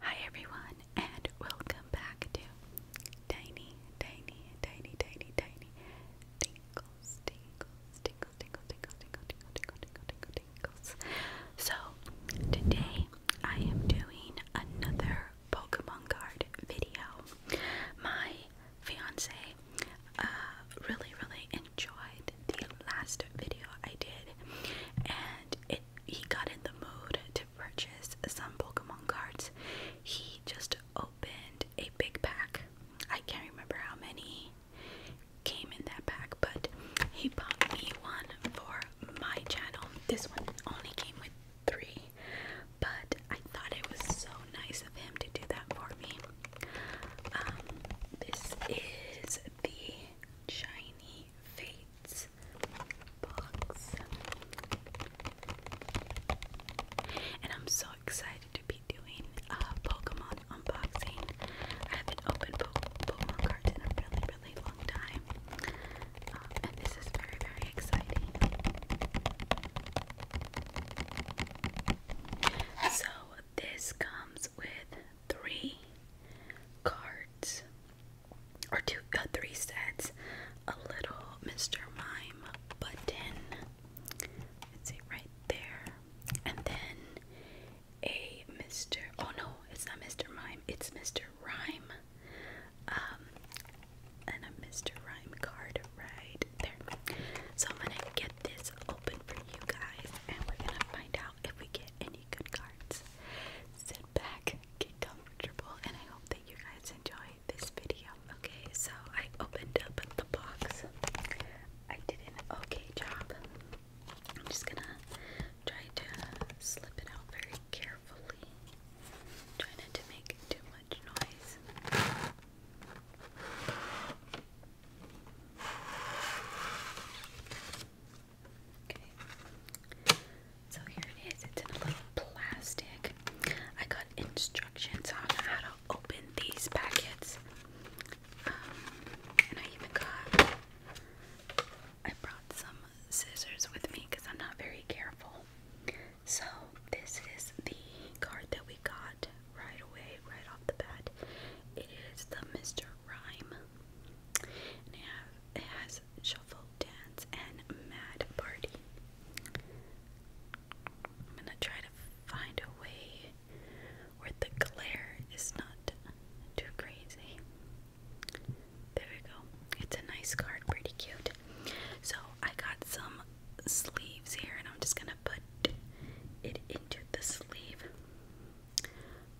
Hi everyone and welcome back to Tiny, Tiny, Tiny, Tiny, Tiny Tinkles, Tinkles, Tinkles, Tinkles, Tinkles, Tinkles, Tinkles, So today I am doing another Pokemon card video. My fiance uh, really, really enjoyed the last video I did, and it he got in the mood to purchase some Pokemon cards. He just opened a big pack. I can't remember how many came in that pack, but he bought me one for my channel. This one only came with three, but I thought it was so nice of him to do that for me. Um, this is the Shiny Fates box. And I'm so excited to be doing a uh, Pokemon unboxing. I haven't opened Pokemon cards in a really, really long time. Uh, and this is very, very exciting. So, this comes with three cards or two uh, three sets a little Mr. Mime button it's it right there and then a Mr. oh no it's not Mr. Mime it's Mr. Rhyme um and a Mr. Rhyme card right there. So I'm gonna get this open for you guys and we're gonna find out if we get any good cards. Sit back, get comfortable, and I hope that you guys enjoy this video. Okay, so I opened up the box. I did an okay job. I'm just gonna try to slip it out very carefully. Try not to make too much noise. So here it is. It's in a little plastic. I got instructions on how to open these packets. Um, and I even got I brought some scissors with me because I'm not very careful. So this is the card that we got right away, right off the bat. It is the Mr. Rhyme. it has Shuffle, Dance, and Mad Party. I'm gonna try to find a way where the glare is not too crazy. There we go. It's a nice card, pretty cute. So I got some sleeves here and I'm just gonna put it into the sleeve.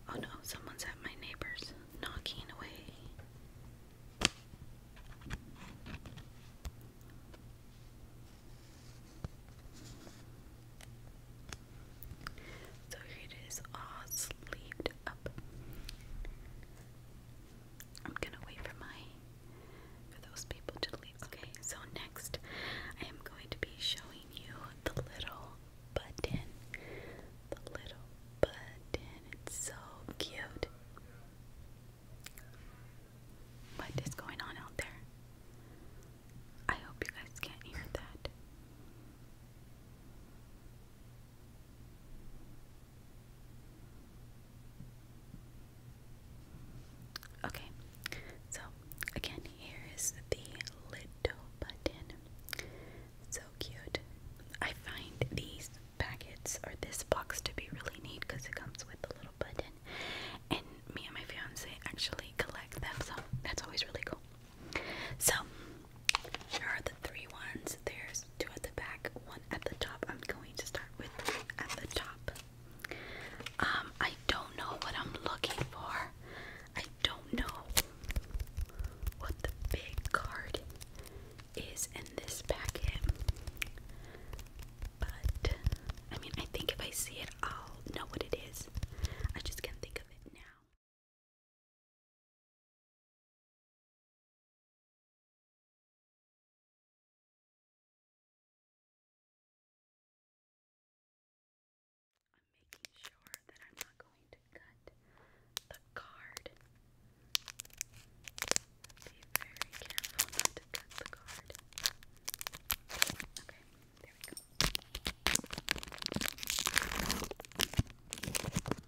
Oh no, someone's at my neighbor's knocking away. So it is, all sleeved up. I'm gonna wait for my for those people to leave. Okay, so next I am going to be showing you the little button. The little button. It's so cute. What is going on out there? I hope you guys can't hear that. Okay, so again, here is the little button. So cute. I find these packets or this box to be really neat because it comes with a little button. And me and my fiance actually collect them, so that's always really cool. So, there are the three ones. There's two at the back, one at the top. I'm going to start with at the top. Um, I don't know what I'm looking for. I don't know what the big card is in this packet. But I mean, I think if I see it, I'll know what it is. I just can't think of it now. I'm making sure that I'm not going to cut the card. Be very careful not to cut the card. Okay, there we go.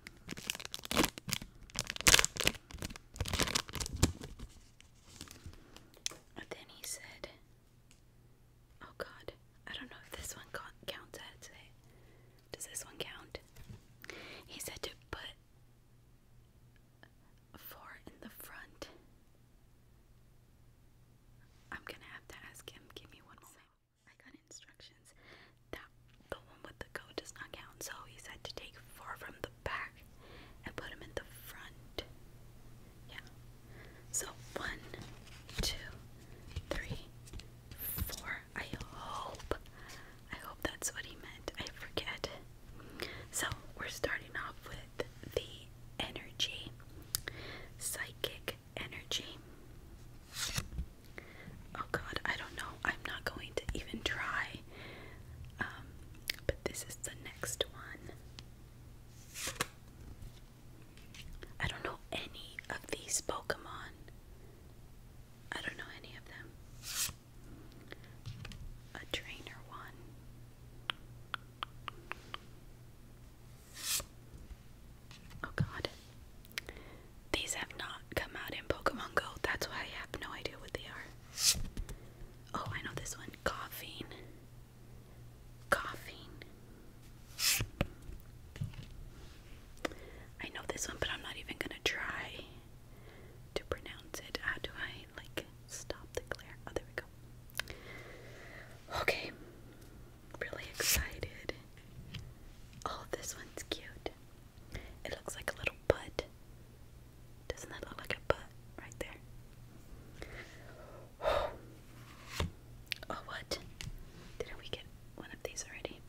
And then he said, Oh god, I don't know if this one counts Does this one count? He said to put four in the front. I'm gonna have to ask him. Give me one moment. I got instructions that the one with the code does not count, so he said to take four from the back and put them in the front. Yeah. So one, two, three, four. I hope. I hope that's what he meant. I forget. So we're starting off with the energy. Psychic energy. Oh god, I don't know. I'm not going to even try. Um, but this is the next one. I don't know any of these Pokemon. I don't know any of them. A trainer one. Oh god. These have not come out in Pokemon Go. That's why I have no idea what they are. Oh, I know this one. Coughing. Coughing. I know this one, but I'm not even gonna try to pronounce it. How do I like stop the glare? Oh, there we go. Okay. Really excited. Oh, this one's cute. It looks like a little butt. Doesn't that look like a butt right there? Oh, what? Didn't we get one of these already?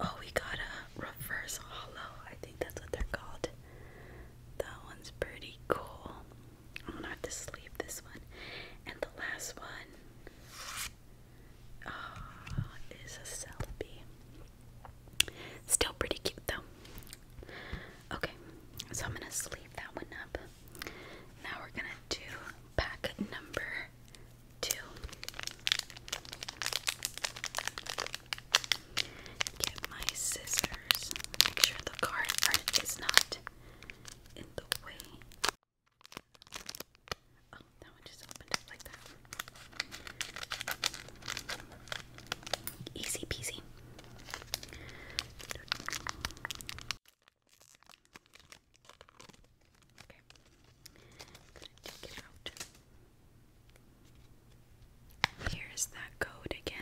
Oh, we got a reverse hollow. I think that's what they're called. That one's pretty cool. I'm gonna have to sleep this one. And the last one uh, is a Celebi. Still pretty cute though. Okay, so I'm gonna sleeve that one up. Now we're gonna do pack number two. Get my scissors. Make sure the card is not in the way. Oh, Easy peasy. Okay. Here's that code again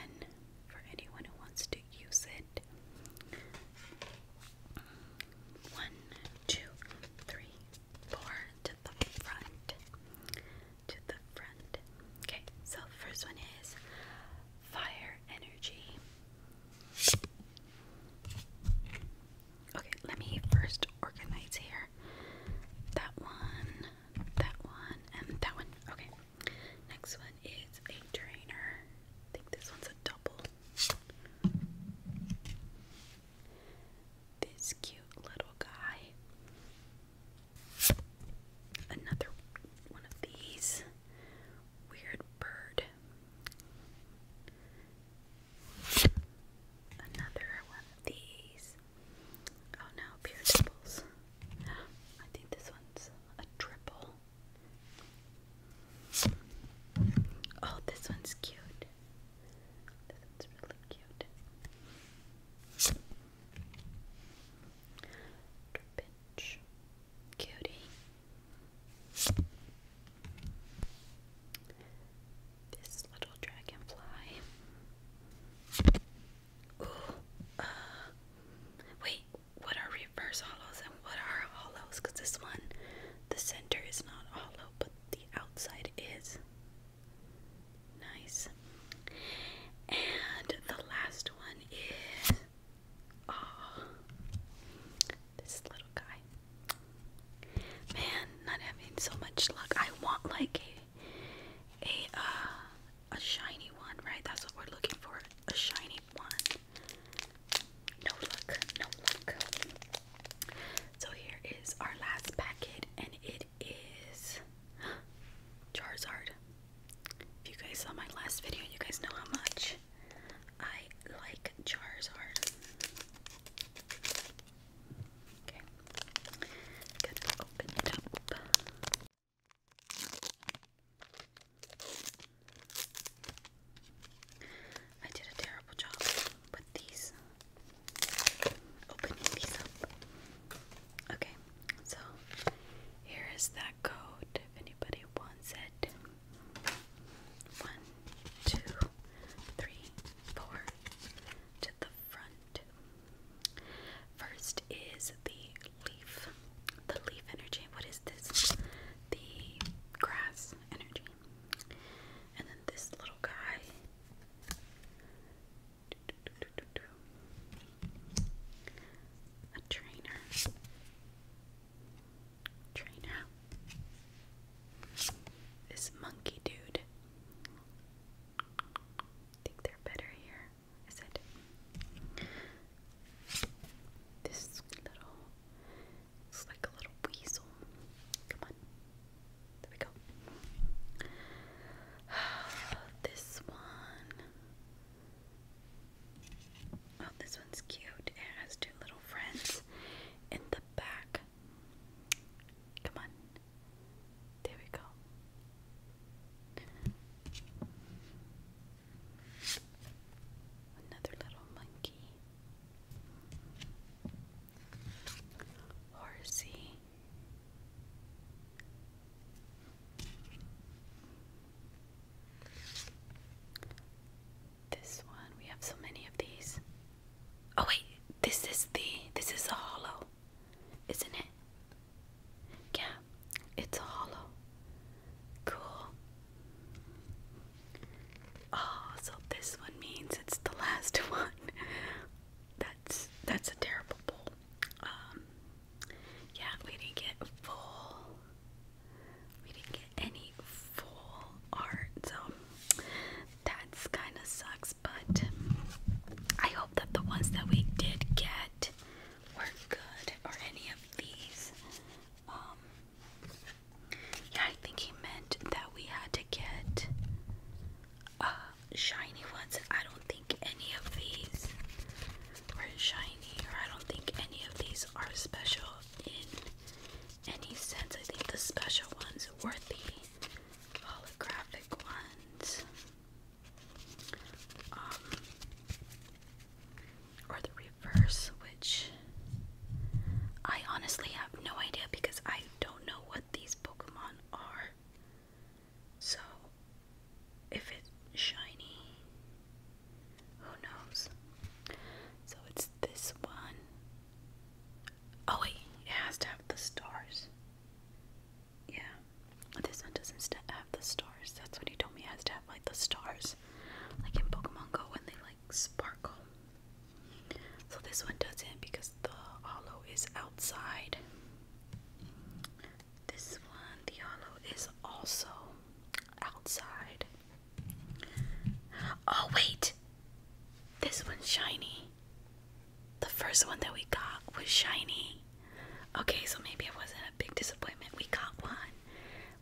for anyone who wants to use it. One, two, three, four to the front. To the front. Okay, so first one is fire energy. Okay, let me first organize here. That one, that one, and that one. Okay. Next one is a trainer. I think this one's a double. This cute little guy. Another one of these. Weird bird. Another one of these. Oh no, pure triples. I think this one's a triple. Oh, this one's cute. This one's really cute. Cutie. This little dragonfly. Ooh. Uh, wait, what are reverse hollows and what are hollows? Because this one, the center is not hollow, but the outside is. Nice. And the last one is. Oh, this little guy. Man, not having so much luck. I want like a a uh, a shiny one, right? That's what we're looking for. A shiny one. No look, no look. So here is our last packet, and it is Charizard. If you guys saw my last video, you guys know how much I like Charizard. Okay, gonna open it up. I did a terrible job with these. Opening these up. Okay, so here is that code if anybody wants it. One, two, three, four to the front. First is the leaf. The leaf energy. What is this? The grass energy. And then this little guy. A trainer. Trainer. This monkey dude. I think they're better here. Is it? This little it's like a little weasel. Come on. There we go. this one. Oh, this one's cute. It has two little friends in the back. Come on. There we go. Another little monkey. Horsey. This one, we have so many of these. Oh wait, this is the this is a hollow, isn't it? Yeah, it's a hollow. Cool. Oh, so this one means it's the last one. That's that's a terrible bowl. Um, yeah, we didn't get full. We didn't get any full art, so that's kind of sucks. But I hope that the ones that we did get were good, or any of these. Um, yeah, I think he meant that we had to get uh, shiny ones. I don't think any of these are shiny, or I don't think any of these are special in any sense. I think the special ones were the holographic ones. Um, or the reverse, which I honestly have no idea because I don't know what these Pokemon are. So, if it's shiny, who knows? So, it's this one. Oh, wait, it has to have the stars. Yeah, this one doesn't have the stars. That's what he told me, it has to have like the stars like in Pokemon Go when they like sparkle. So this one doesn't because the hollow is outside. This one, the hollow is also outside. Oh wait, this one's shiny. The first one that we got was shiny. Okay, so maybe it wasn't a big disappointment. We got one.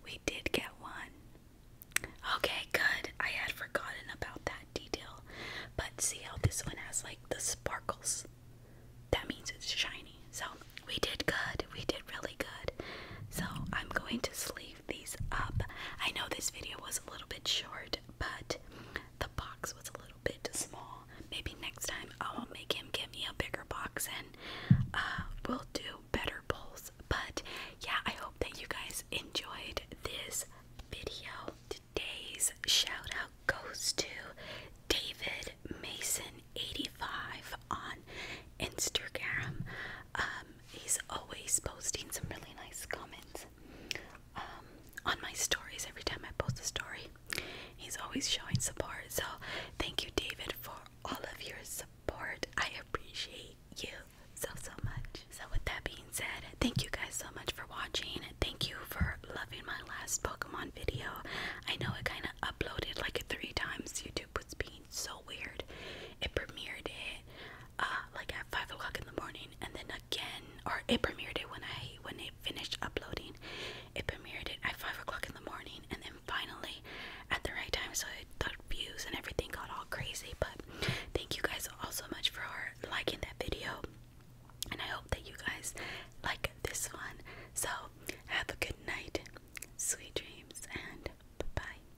We did get one. Okay, good. I had forgotten about that detail. But see how this one has like the sparkles? That means it's shiny. So we did good. We did really good. So I'm going to sleeve these up. I know this video was a little bit short, but the box was a little bit small. Maybe next time I'll make him give me a bigger box and uh, we'll do better bowls. But yeah, I hope that you guys enjoyed this video. Today's shout out goes to David Mason85 on Instagram. Um, he's always posting some really nice comments um, on my stories every time I post a story. He's always showing support. So, thank you, David, for all of your support support. I appreciate you so, so much. So, with that being said, thank you guys so much for watching. Thank you for loving my last Pokemon video. I know it kind of uploaded like three times. YouTube was being so weird. It premiered it uh, like at 5 o'clock in the morning, and then again, or it premiered it when I when it finished uploading. It premiered it at 5 o'clock in the morning, and then finally at the right time so the views and everything got all crazy but thank you guys all so much for liking that video and I hope that you guys like this one so have a good night sweet dreams and bye bye